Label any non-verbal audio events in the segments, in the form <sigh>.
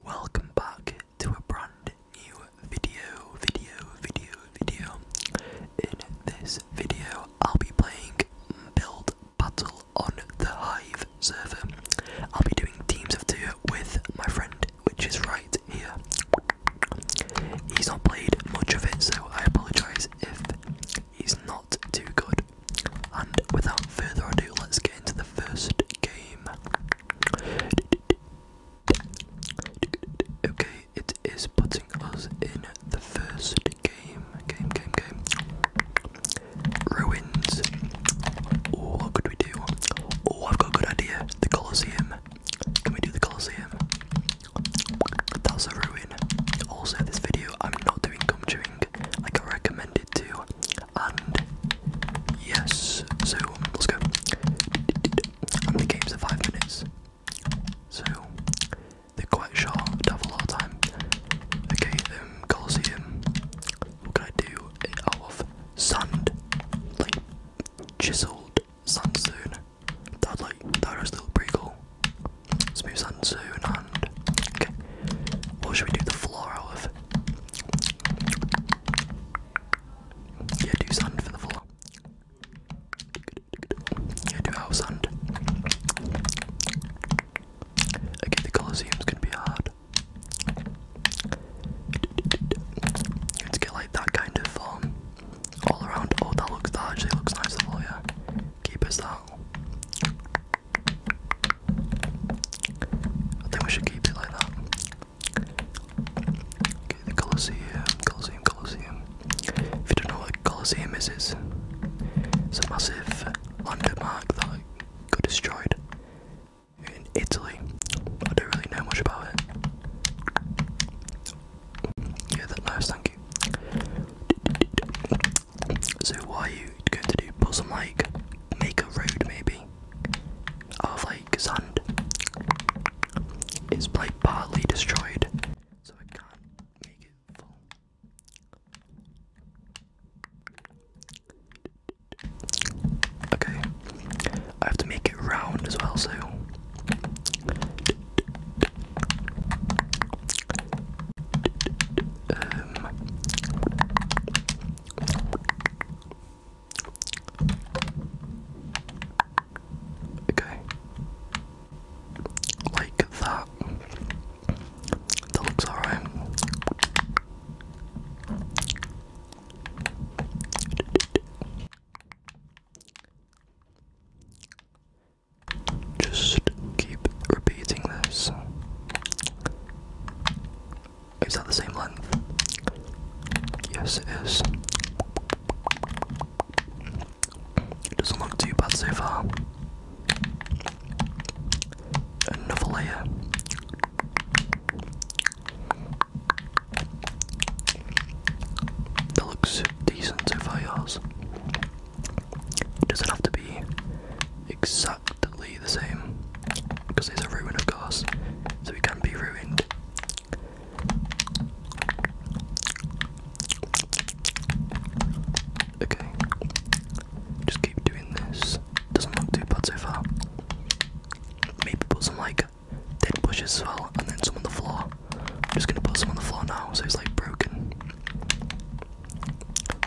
Welcome back to a brand new video, video, video, video. In this video, I'll be playing Build Battle on the Hive server. I'll be doing teams of two with my friend, which is right here. He's not played much of it, so I apologise if he's not too good. And without further ado, let's get into the first game. Okay, it is putting us in the first game. Game, game, game. Ruins. Oh, what could we do? Oh, I've got a good idea. The Colosseum. Can we do the Colosseum? That's a ruin. Also, this video, I'm not doing gum chewing like I recommended to. And yes, so let's go. And the games are five minutes. So they're quite short, Double our time. Okay, um, Colosseum. What can I do? It out sand, like chiseled sandstone. That like that actually look pretty cool. Smooth sandstone and okay. What should we do the floor of? Yeah, do sand for the floor. Yeah, do house sand. Okay, the Colosseum's gonna be hard. Let's get like that kind of form um, all around. Oh, that looks that actually looks nice. The floor, yeah. Keep us that. I think we should keep it like that. Okay, the Colosseum, Colosseum, Colosseum. If you don't know what Colosseum is, it's, it's a massive landmark that got destroyed in Italy. I don't really know much about it. Yeah, that nice, thank you. So, why are you going to do puzzle like make a road maybe? of like sand is like partly destroyed, so I Okay, I have to make it round as well, so. Um. Okay. Like that. That looks alright. Just keep repeating this. Is that the same length? Yes, it is. It doesn't look too bad so far. Another layer. That looks decent so far, yours. It doesn't have to be exactly the same because it's a ruin, of course, so we can not be ruined. Okay, just keep doing this. Doesn't look too bad so far. Maybe put some like dead bushes as well, and then some on the floor. I'm just gonna put some on the floor now, so it's like broken.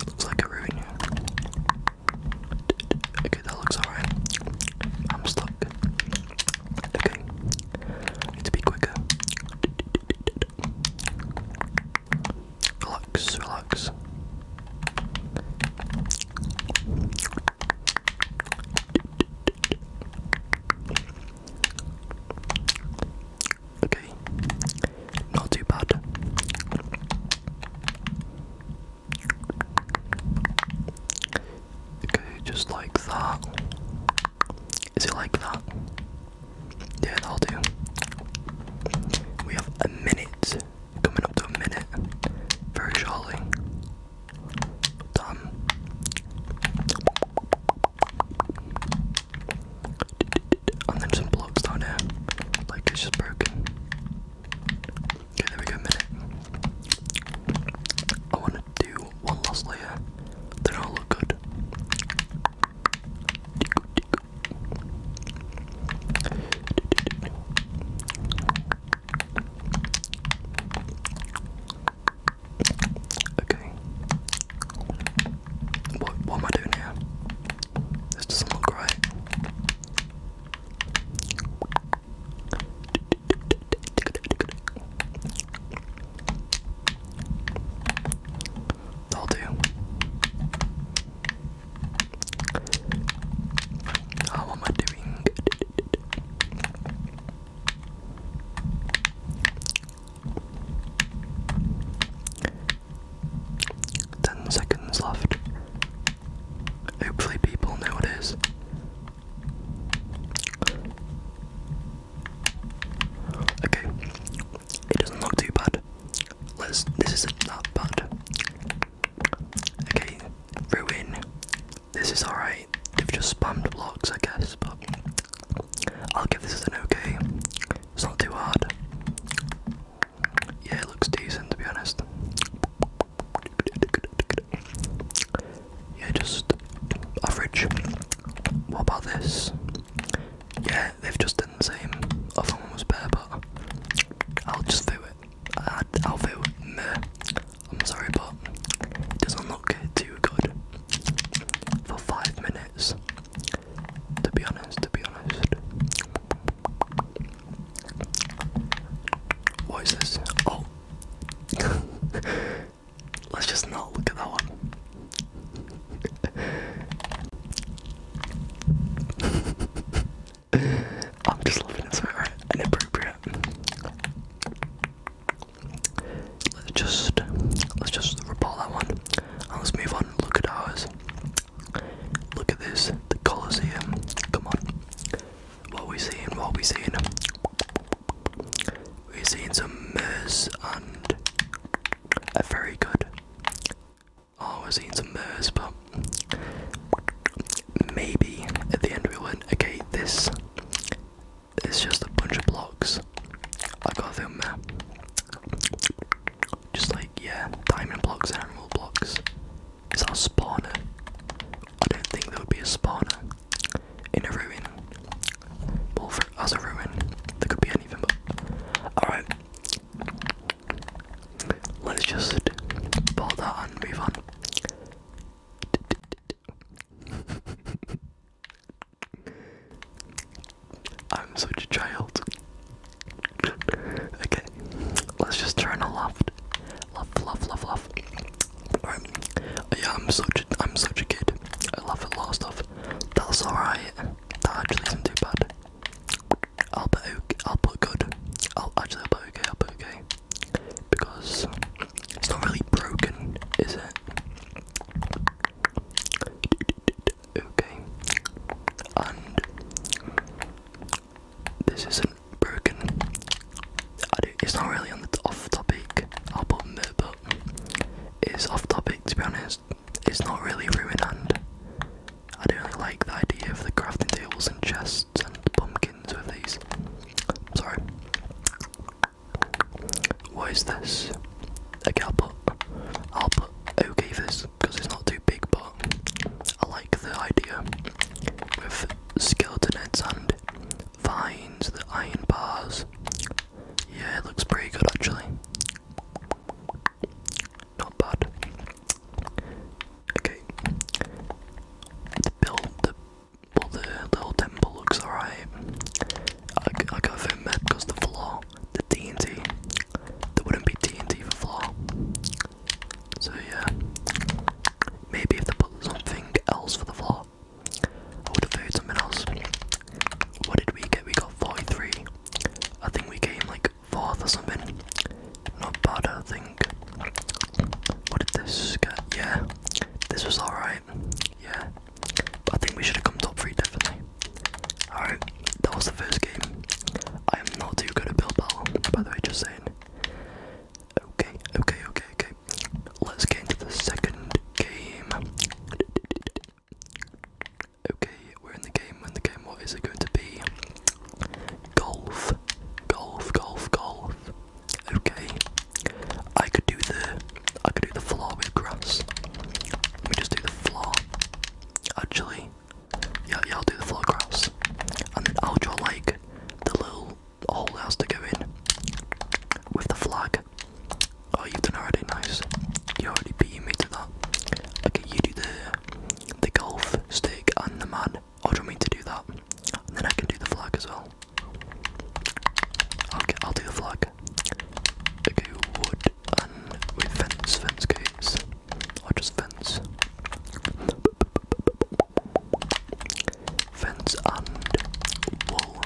Looks like a ruin. Okay, that looks alright. I'm stuck. Okay. need to be quicker. Relax, relax. Okay, not too bad. Okay, just like that. Is it like that? Yeah, that'll do. We have a minute. Coming up to a minute. Very shortly. Done. And then some blocks down here. Like it's just broken. Okay, there we go, minute. I want to do one last layer, then i look good. Okay. What, am I doing here? This doesn't look right. I'll do. How oh, am I doing? Ten seconds left. Hopefully, people know it is. Okay, it doesn't look too bad. Let's. This isn't that bad. Okay, ruin. This is alright. They've just spammed blocks, I guess, but I'll give this an okay. It's not too hard. Yeah, it looks decent to be honest. Yeah, just average. What about this? Yeah, they've just done the same. Other one was better, but I'll just do it. I, will do meh. I'm sorry, but it doesn't look too good for five minutes. To be honest, to be honest. What is this? Oh, <laughs> Let's just not look at that one. <laughs> I'm just loving it so right? appropriate. Let's just let's just report that one let's move on and look at ours. Look at this, the Colosseum. Come on. What we seeing? What we seeing? We're seeing some Murs and a very good. Oh, we're seeing some Murs, but maybe at the end we went. Okay, this it's just a bunch of blocks. I got them there. Uh, just like yeah, diamond blocks and emerald blocks. Is our spawner? I don't think there would be a spawner in a ruin. Well, for, as ruin, there could be anything, Alright. Let's just put that and move on. <laughs> I'm such a child. <laughs> okay, let's just turn a loft. Laugh, laugh, laugh, yeah, I'm such a, I'm such a kid. I love at a lot of stuff. That's alright. That actually isn't too bad. I'll put okay. I'll put good. I'll actually i put okay. I'll put okay because it's not really broken, is it? Okay. And this is a broken. it's not really on the off topic album there, but it's off topic to be honest. It's not really ruin. And I don't really like the idea of the crafting tables and chests and pumpkins with these. Sorry. What is this? Okay, I'll I'll put okay this because it's not too big, but I like the idea with skeleton heads and finds the iron bars. Yeah, it looks pretty good actually. Not bad. Okay. The build, the, well, the little temple looks alright. I, I got a map because the floor, the TNT, there wouldn't be TNT for floor. So yeah. Maybe if they put something else for the floor. I would have voted something else. What did we get? We got 43. I think we came like 4th or something. Not bad, I think. What this Yeah, this was alright. Yeah, I think we should have come top 3 definitely. Alright, that was the first game. I am not too good at Bill Bell, by the way, just saying. Okay, okay, okay, okay. Let's get into the second game. Okay, we're in the game, we're in the game. What is it going to be? Golf. Golf, golf, golf. Okay. I could do the I could do the floor with grass. Let me just do the floor. Actually. Yeah, yeah, I'll do the floor grass. And then I'll draw like the little the whole house to go in with the flag. Oh, you've done already, nice. You already beat me to that. Okay, you do the the golf stick and the man. Or oh, do you to do that? then I can do the flag as well. Okay, I'll do the flag. Okay, wood and with fence, fence gates, or just fence fence and wool.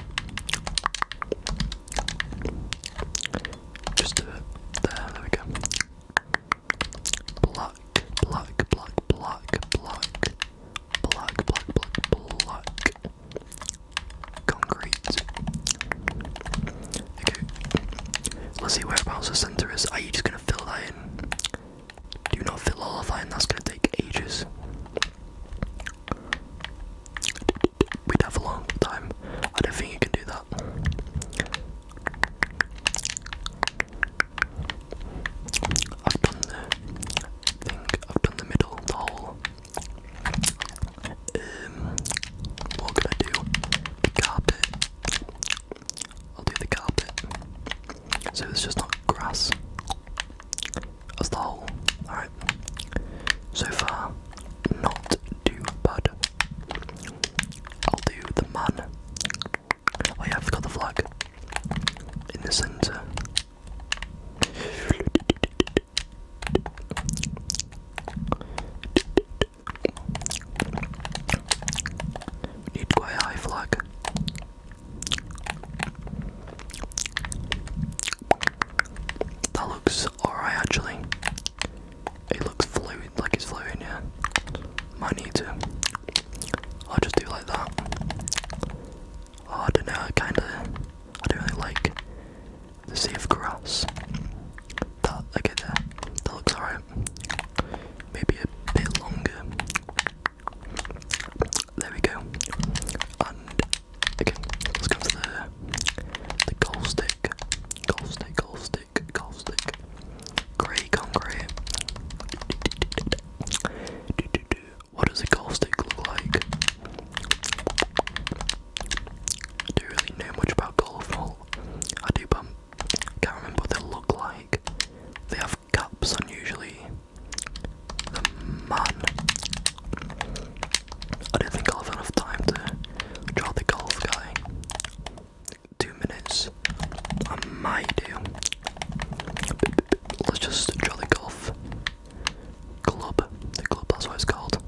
Just There, there we go. Black, black, black, black, black, black, black, black, black. Concrete. Okay. Let's see where whereabouts the centre is. Are you just gonna fill that in? Do not fill all of that that's going to take ages. We'd have a long time. I don't think you can do that. I've done the thing, I've done the middle, the Um, what can I do? carpet. I'll do the carpet. So it's just not grass. That's the whole. Alright. So far, not too bad. i do the man. Oh yeah, I forgot the flag. In the centre. We need quite high flag. That looks alright actually. It looks flowing, like it's flowing, yeah. Might need to. I'll just do like that. Oh, I don't know, I kinda. I don't really like the sea of grass. That, okay, there. That looks alright. Maybe a bit longer. There we go. And again, let's go to the the goal stick. Goal stick, goal stick, goal stick. Grey concrete. What does a goal stick look like? I don't really know much about golf I do, but can't remember what they look like. They have caps on Man. I don't think i have enough time to draw the golf guy. Two minutes. I might do. Let's just draw the golf club. The club, that's what it's called.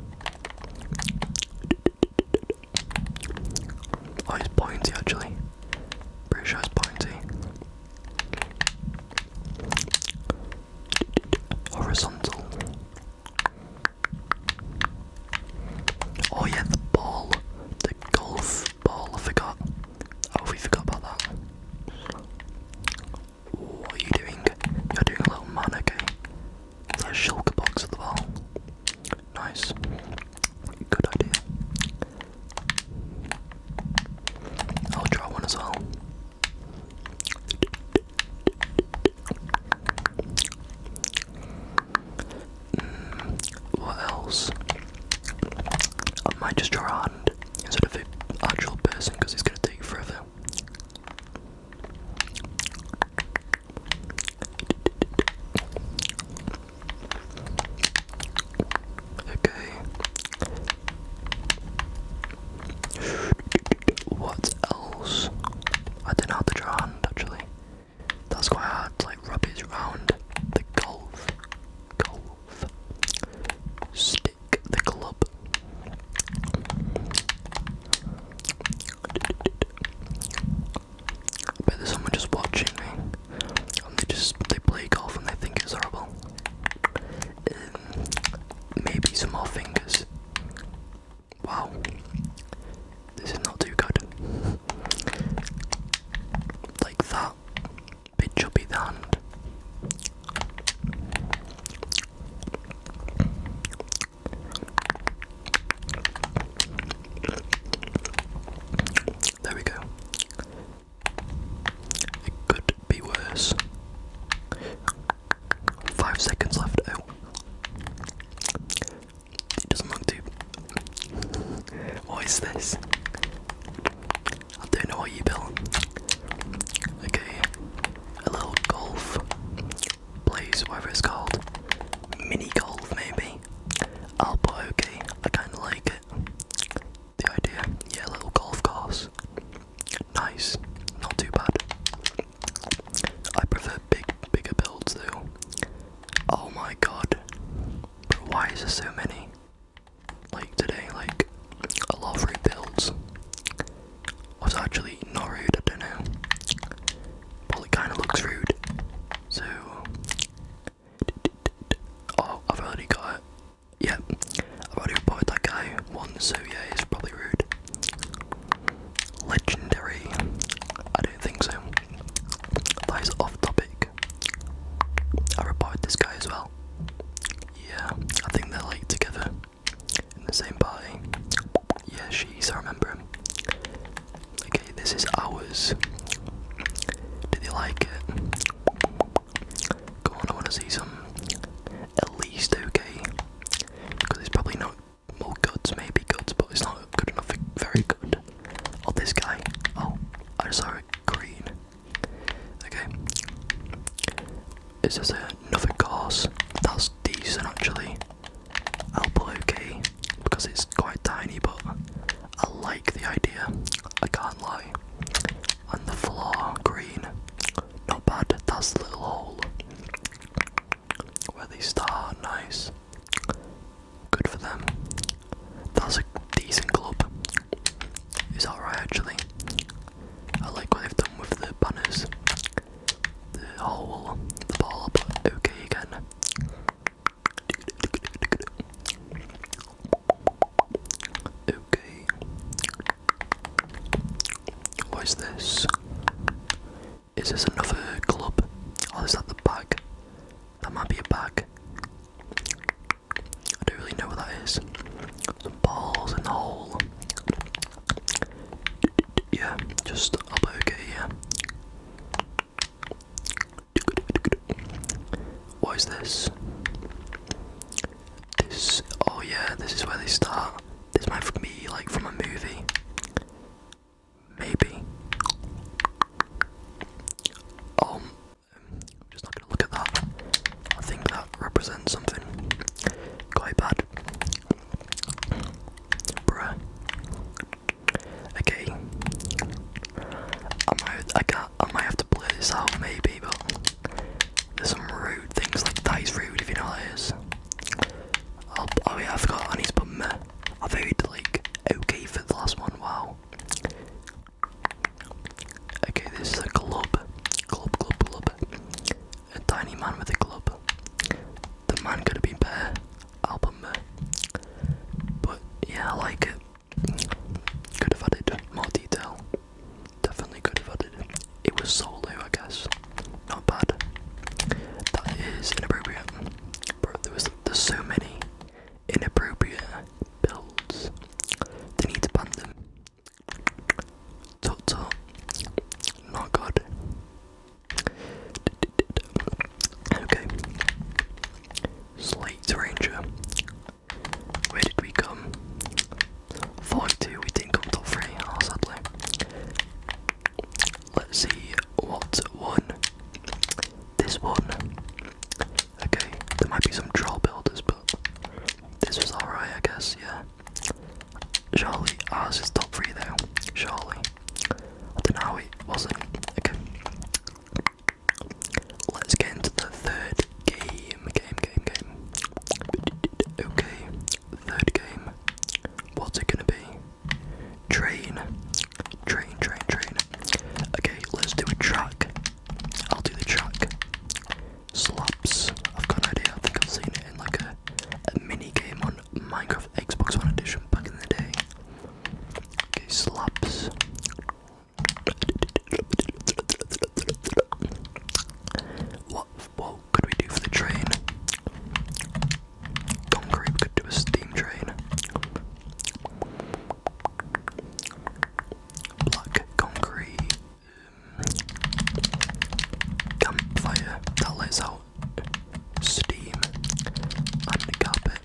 Oh, pointy actually. Pretty sure it's pointy. Horizontal. Oh yeah, the ball. The golf ball, I forgot. Oh, we forgot about that. What are you doing? You're doing a little man, okay? Is box at the ball? Nice. Good idea. I'll draw one as well. Mm, what else? I might just draw a instead of actual person because it's going to take forever. Okay, what else? I don't know how to draw a actually. That's quite hard, like rubbish round the golf. Golf. Stick the club. I bet there's someone just watching me. And they just they play golf and they think it's horrible. Um, maybe some more fingers. Wow, this is not too good. Like that, bit chubby hand. There we go. It could be worse. Five seconds left. Oh. It doesn't look too. What is this? I don't know what you built. Okay, a little golf place, whatever it's called. Mini golf, maybe. I'll oh, put okay. I kind of like it. The idea. Yeah, a little golf course. Nice, not too bad. I prefer big, bigger builds though. Oh my god, why is there so many? Like today, like a lot of rude builds. was actually not rude, I don't know. Well, it kind of looks rude. So, oh, I've already got yeah, I've already bought that guy One, so yeah, it's probably rude. Legendary? I don't think so. That is off topic. I have bought this guy as well. Yeah, I think they're like together in the same party. Yeah, she's, I remember Okay, this is ours. Do they like it? Go on, I want to see some at least okay. Because it's probably not more goods, maybe goods, but it's not good enough very good. Oh, this guy. Oh, I saw it green. Okay. Is this another course? That's decent actually. I'll put okay because it's quite tiny, but I like the idea. I can't lie. On the floor green. Not bad, that's the little hole where they start, nice. Good for them. That's a decent club. Is that right actually? I like what they've done with the banners. The hole, the ball, but okay again. Okay. What is this? Is this another club? Oh, is that the bag? That might be a bag. I don't really know what that is. Some balls in the hole. Yeah, just up. okay, yeah. What is this? This, oh yeah, this is where they start. This might be like from a movie. Maybe. Um, I'm just not gonna look at that. I think that represents something quite bad. Bruh. Okay. I might, I can I might have to play this out maybe, but there's some rude things like that is rude if you know what is. I'll, oh, oh yeah, I forgot I need to put like okay for the last one, wow. Okay, this is a club. Club, club, club. A tiny man with a club. The man could have been better. Album But yeah, I like it. Could have added more detail. Definitely could have added. It was solo, I guess. Not bad. That is inappropriate. Bro, there was, there's so many inappropriate builds. They need to ban them. Tut tut. Not good. Okay. Slate Ranger. Where did we come? 42, we didn't come top 3, oh sadly. Let's see what one. This one. Okay, there might be some troll builders, but this was alright, I guess, yeah. Surely ours is top 3 though, surely. I don't know how it wasn't. Okay. Let's get into the third Game, game, game, game. Okay, third game. What's it gonna be? Train. Train, train, train. Okay, let's do a truck. I'll do the track. Slaps. I've got an idea. I think I've seen it in like a, a mini game on Minecraft Xbox One Edition back in the day. Okay, slaps. What could we do for the train? Concrete could do a steam train. Black concrete um, campfire that lets out steam and carpet.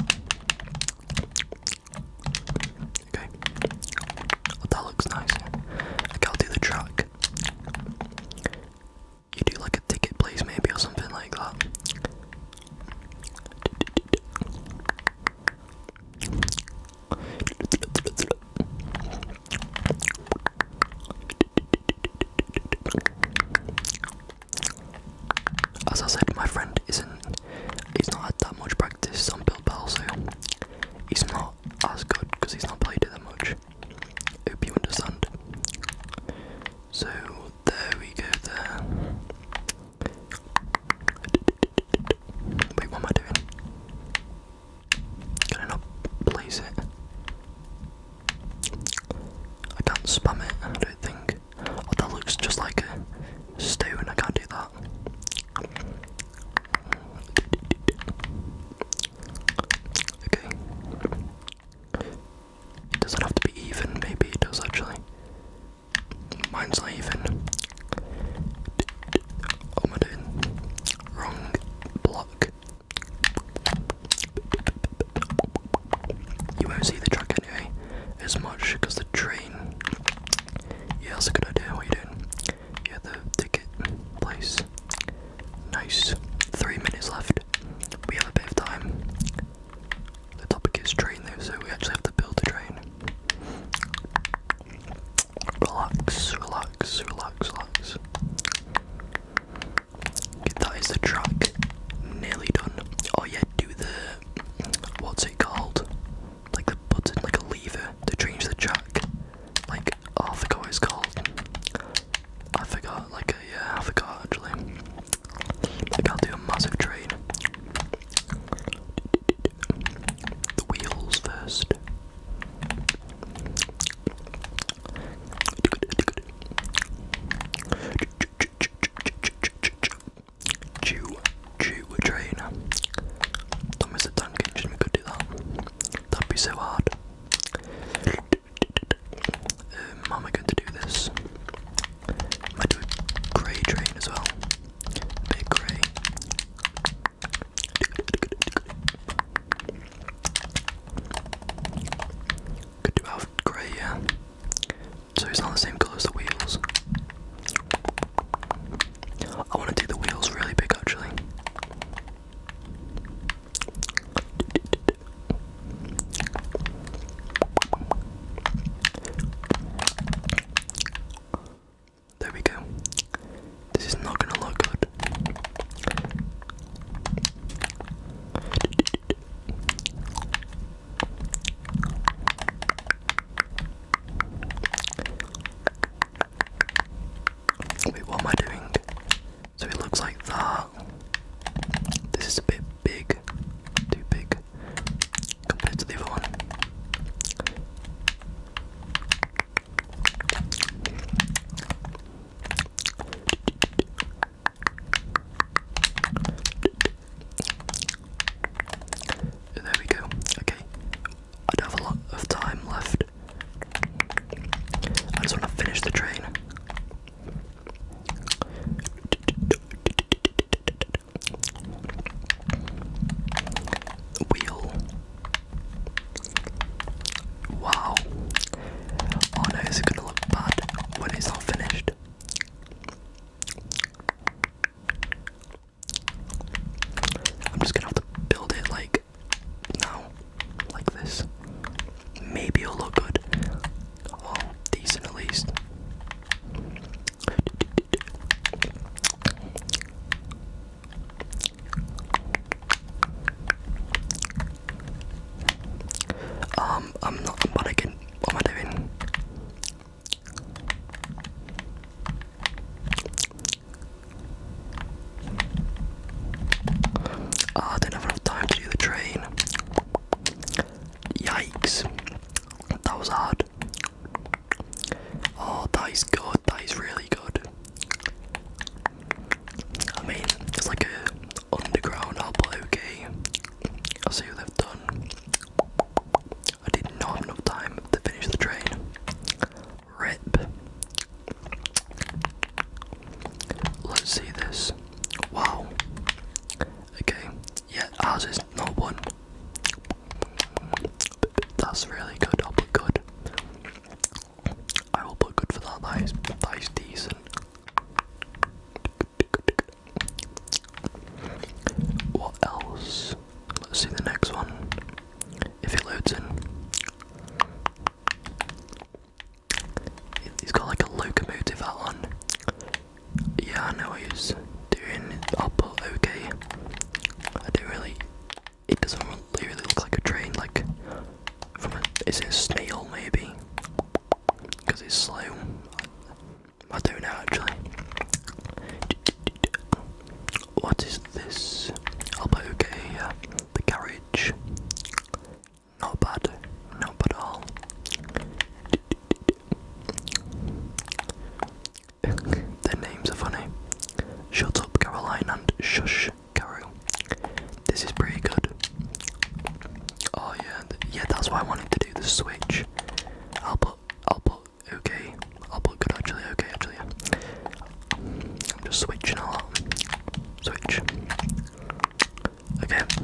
Okay. that looks nice. I can do the track. You do like a ticket, please, maybe, or something like that. As I said, my friend isn't. He's not had that much practice on Bill Bell, so he's not as good because he's not played it that much. Hope you understand. So there we go there. Wait, what am I doing? Can I not place it? I can't spam it, I don't think. Oh, that looks just like a stone, I can't do that. Okay. It doesn't have to be even, maybe it does actually. Mine's not even. What oh, am I doing? Wrong block. You won't see the truck anyway as much because the train. Yeah, that's a good idea. What are you doing? Yeah, the ticket place. Nice. Three minutes left. We have a bit of time. The topic is train though, so we actually have to build a train. Relax, relax, relax, relax. that is the track. Nearly done. Oh yeah, do the what's it called? Like the button, like a lever to change the track. Like oh, I forgot what it's called. I forgot, like, a, yeah, I forgot actually. Like, I'll do a massive trade. The wheels first. Chew, chew a train. Don't miss the tank engine, we could do that. That'd be so hard. Um, am I going to do this? I do grey drain as well. Make grey. Could do out grey, yeah. So he's not the same colour as the wheels. I want to do the wheels really big actually. There we go. This is not gonna look good. Wait, what am I doing? So it looks like that. This is a bit big, too big compared to the other one. There we go. Okay, I do have a lot of time left. I just want to finish the train. Wheel. Wow. Oh no, is gonna look bad when it's all finished? I'm just gonna have to build it like now, like this. Maybe it'll look good. Well, decent at least. Um, I'm not, what am I doing? Ah, I don't have enough time to do the train. Yikes. That was hard. Oh, that is good. That is really good. I mean, it's like a underground hub, but I'll see what they've done. I did not have enough time to finish the train. Rip. Let's see this. Wow. Okay. Yeah, ours is not one. That's really good. I'll put good. I will put good for that. That is, that is decent. What else? Let's see the next one. If it loads in. He's got like a locomotive hat on. Yeah, I know what he's doing. Oh, but okay. I do really. It doesn't really look like a train. Like, from a, is a snail maybe? Because it's slow. I don't know actually. What is this? Oh, but okay. Yeah the garage. Not bad, not bad at all. <laughs> Their names are funny. Shut up, Caroline, and shush, Carol. This is pretty good. Oh yeah, yeah. That's why I wanted to do the switch. I'll put, I'll put okay. I'll put good actually. Okay, actually. I'm just switching a lot. Switch. Okay. <laughs>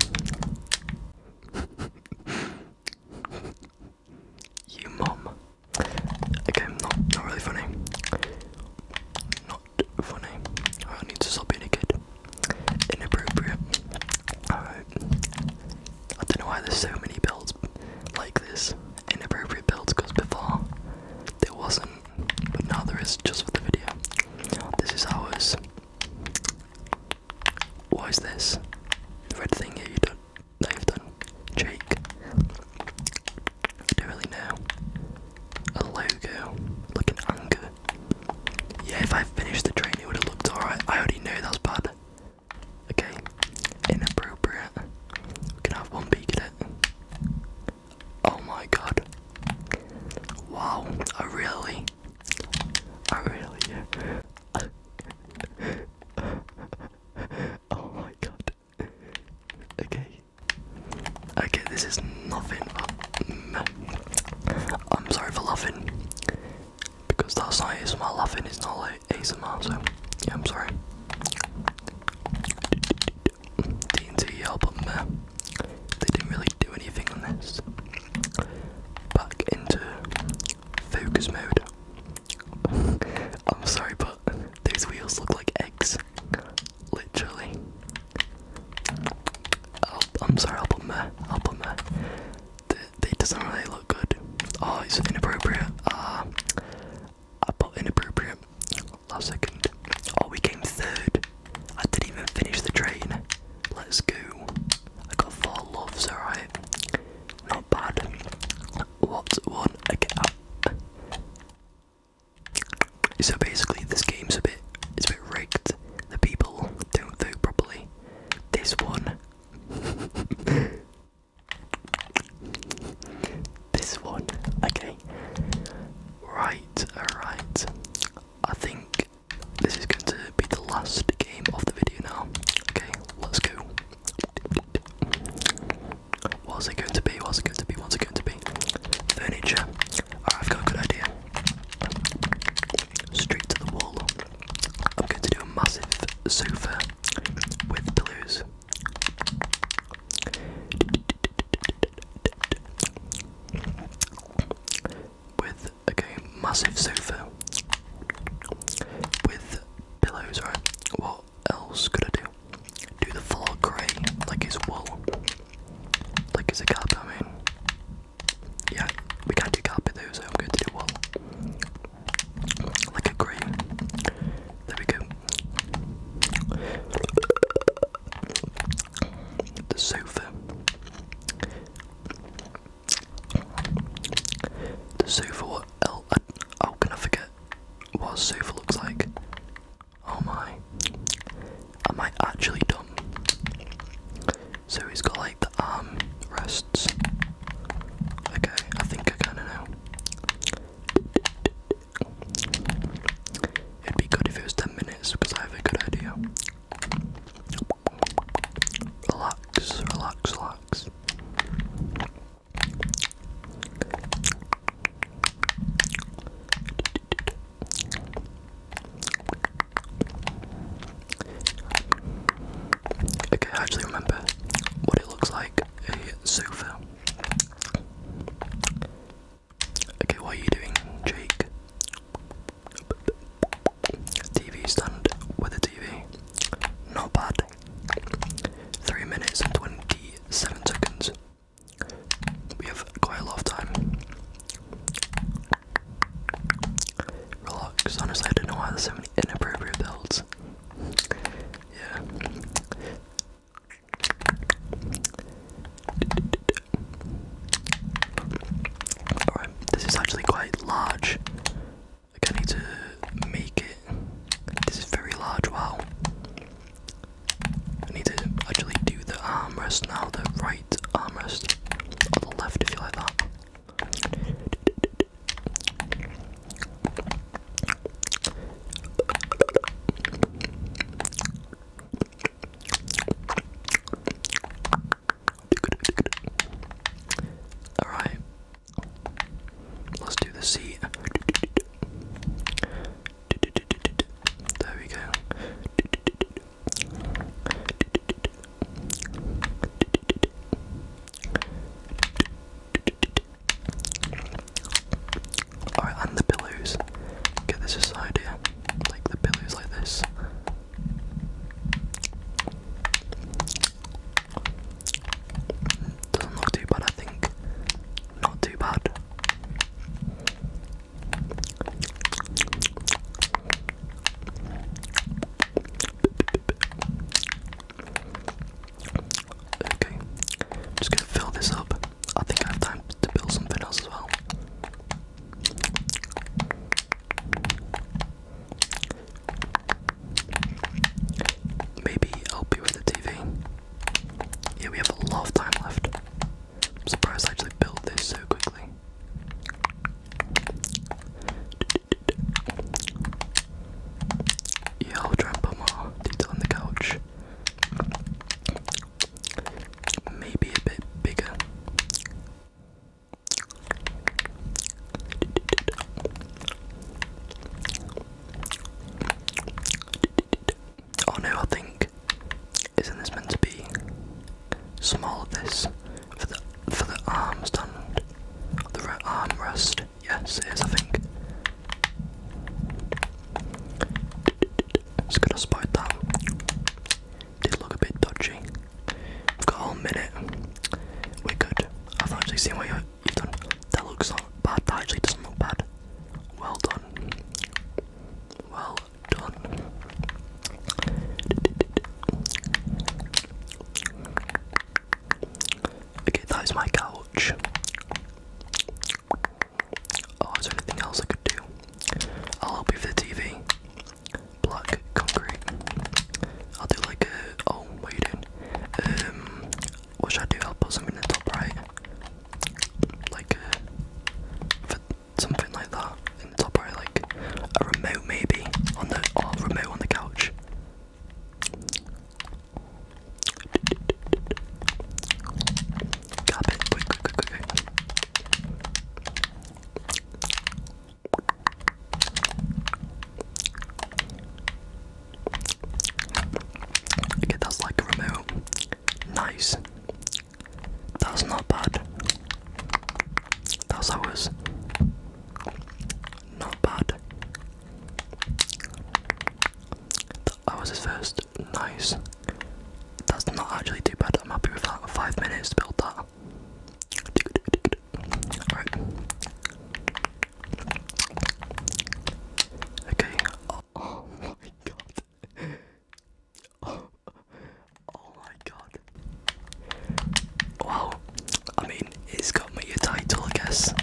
you mom. Okay, not not really funny. Not funny. I need to stop being a kid. Inappropriate. Alright. I don't know why there's so many builds like this. Inappropriate builds because before there wasn't but now there is just for the video. This is ours. What is this? The red thing here you don't that have done. Jake. I don't really know. A logo. Like an anger. Yeah, if I finished the train it would have looked alright. I already know that's bad. Okay. Inappropriate. can have one peek at it. Oh my god. Wow, I really. I really. <laughs> oh my god. Okay. Okay, this is nothing I'm sorry for laughing. Because that's not ASMR laughing, it's not like ASMR, so. Yeah, I'm sorry. D&T album uh, They didn't really do anything on this. Back into focus mode. <laughs> I'm sorry, but those wheels look like eggs. Literally. i am sorry, I'll put my, I'll put my. They, doesn't really look good. Oh, it's inappropriate. Ah, uh, inappropriate last second. Oh, we came third. I didn't even finish the train. Let's go. I got four loves, alright. Not bad. What one again? So basically, this game's a bit, it's a bit rigged. The people don't vote properly. This one. <laughs> this one. Okay. Right. Alright, I think this is going to be the last game of the video now. Okay, let's go. What's it going to be? What's it going to be? What's it going to be? Furniture. I've got a good idea. Straight to the wall. I'm going to do a massive sofa with pillows with okay, massive sofa with pillows, right? What else could I do? Do the floor grey, like it's wool. Like it's a carpet, I mean. Yeah, we can't do carpet though, so I'm going to do wool. Like a grey. There we go the sofa. The sofa, what else? How can I forget what a sofa looks like? Oh my. Am I actually dumb? So he's got like the arm rests. Okay, I think I kinda know. It'd be good if it was 10 minutes because I have a good idea. Relax, relax, relax. Okay, I actually remember what it looks like a sofa. Okay, what are you doing, Jake? TV stand with a TV. Not bad. 3 minutes and 27 seconds. We have quite a lot of time. Relax. Honestly, I don't know why there's so many inappropriate builds. Yeah. Alright, this is actually quite large. Like I need to make it. This is very large, wow. I need to actually do the armrest now, the right armrest. the left if you like that. Alright. Let's do the C. There we go. Alright, and the pillows. Get this aside here. Like the pillows like this. Doesn't look too bad, I think. Not too bad. Okay, I'm just gonna fill this up. I think I have time to build something else as well. Maybe help you with the TV. Yeah, we have a lot of time left. I'm surprised I actually built this so quickly. Yeah, I'll try and put more detail on the couch maybe a bit bigger. Oh no, I think isn't this meant to be small? This for the for the arm stand, the arm rest. Yes, it is. I think. It's gonna spot that. Did look a bit dodgy. We've got a minute. We're good. I've actually seen what you've done. That looks not bad. That actually doesn't look bad. Well done. Well done. Okay, that is my couch. Oh, is there anything else I could do? I'll help you with the TV. Block concrete. I'll do like a. Oh, what are you doing? Um, what should I do? I'll put something in the top right. Like a. Uh, something like that in the top right, like a remote maybe on the or remote on the couch. Okay, that's like a remote. Nice. That's not bad. That was Not bad. That was his first. Nice. That's not actually too bad. I'm happy with that. Five minutes to build that. Okay. Oh, <laughs> oh, my god. <laughs> oh my god. Wow. I mean, it's got me a title, I guess.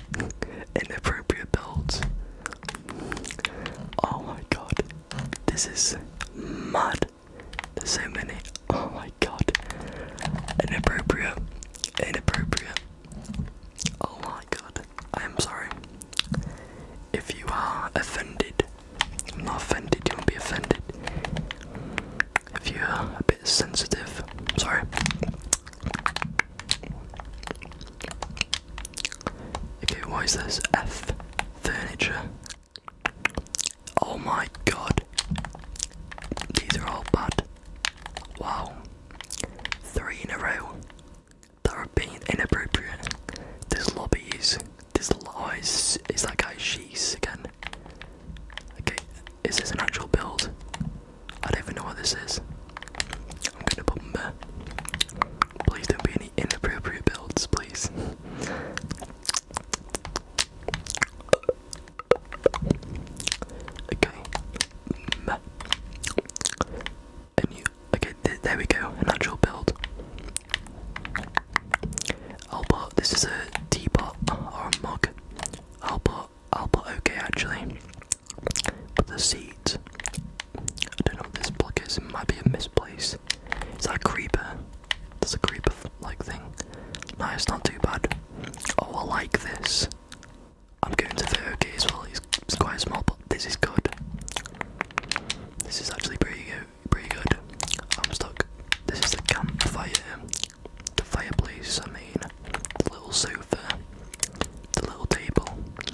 Inappropriate build. Oh my god. This is mad. There's so many. <laughs> Oh my god. Inappropriate. Inappropriate. Oh my god. I am sorry. If you are offended, I'm not offended, you won't be offended. If you're a bit sensitive, sorry. Okay, why is this F furniture? Oh my god. These are all bad. Wow. Three in a row that are being inappropriate. There's lobbies. There's lies. Oh, is that guy she's again? Okay, is this an actual build? I don't even know what this is. I'm gonna bomb Please don't be any inappropriate builds, please. Okay. Okay, there we go. An build. I'll put. This is a teapot or a mug. I'll put. I'll put okay actually. But the seat. I don't know what this block is. It might be a misplace. Is that creeper? There's a creeper like thing. No, it's not too bad. Oh, I like this. I'm going to 30k as well. He's quite small, but this is good. This is actually pretty good. Pretty good. I'm stuck. This is the campfire, the fireplace. I mean, the little sofa, the little table.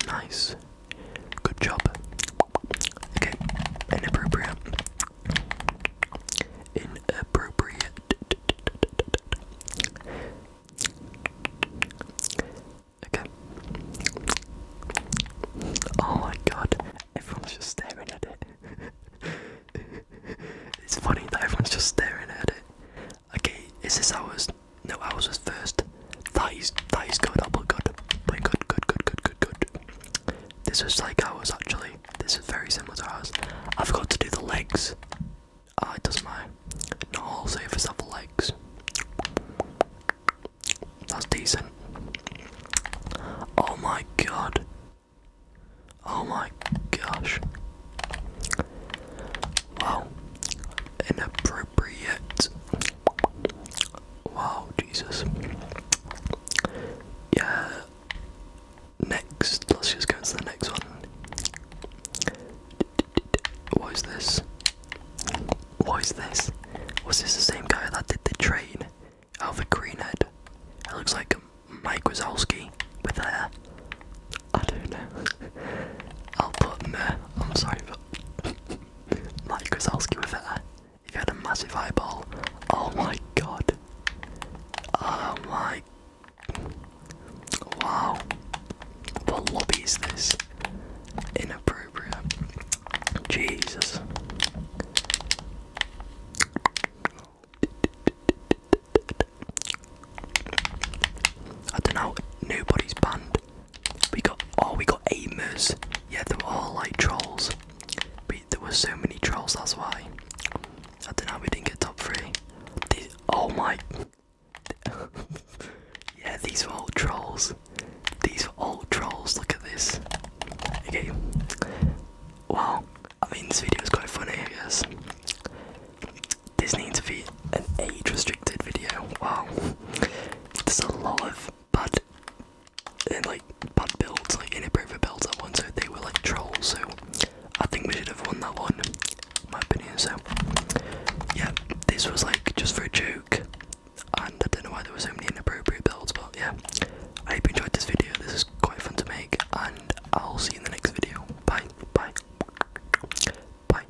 Nice. Good job. Okay, inappropriate. Inappropriate. Okay. Oh my god, everyone's just staring at it. <laughs> it's funny that everyone's just staring at it. Okay, is this ours? No, ours was first. That is that is good, that oh good. But good, good, good, good, good, good. This was like ours actually. This is very similar to ours. I forgot to do the legs. Ah, it doesn't matter. I'll Not all savers the legs. That's decent. Oh my god. Oh my gosh. Wow. Inappropriate. Wow, Jesus. Yeah. Next, let's just go to the next one. What is this? What is this? Was this the same guy that did the train? Alpha Greenhead. It looks like Mike Wazowski with hair. I don't know. I'll put there. I'm sorry, but <laughs> Mike Wazowski with hair. He had a massive eyeball, oh my god. Oh my. Wow. What lobby is this? Inappropriate. Jesus. I don't know. Nobody's banned. We got. Oh, we got aimers. Yeah, they were all like trolls. We, there were so many trolls, that's why. I don't know we didn't get top three. oh my. <laughs> yeah, these were all trolls. These were all trolls, look at this. Okay. Wow. I mean, this video is quite funny, I guess. This needs to be an age restricted video. Wow. There's a lot of but and like bad builds, like inappropriate builds that one, so they were like trolls, so I think we should have won that one, my opinion, so yeah, this was like just for a joke and I don't know why there were so many inappropriate builds, but yeah. I hope you enjoyed this video, this is quite fun to make and I'll see you in the next video. Bye, bye, bye.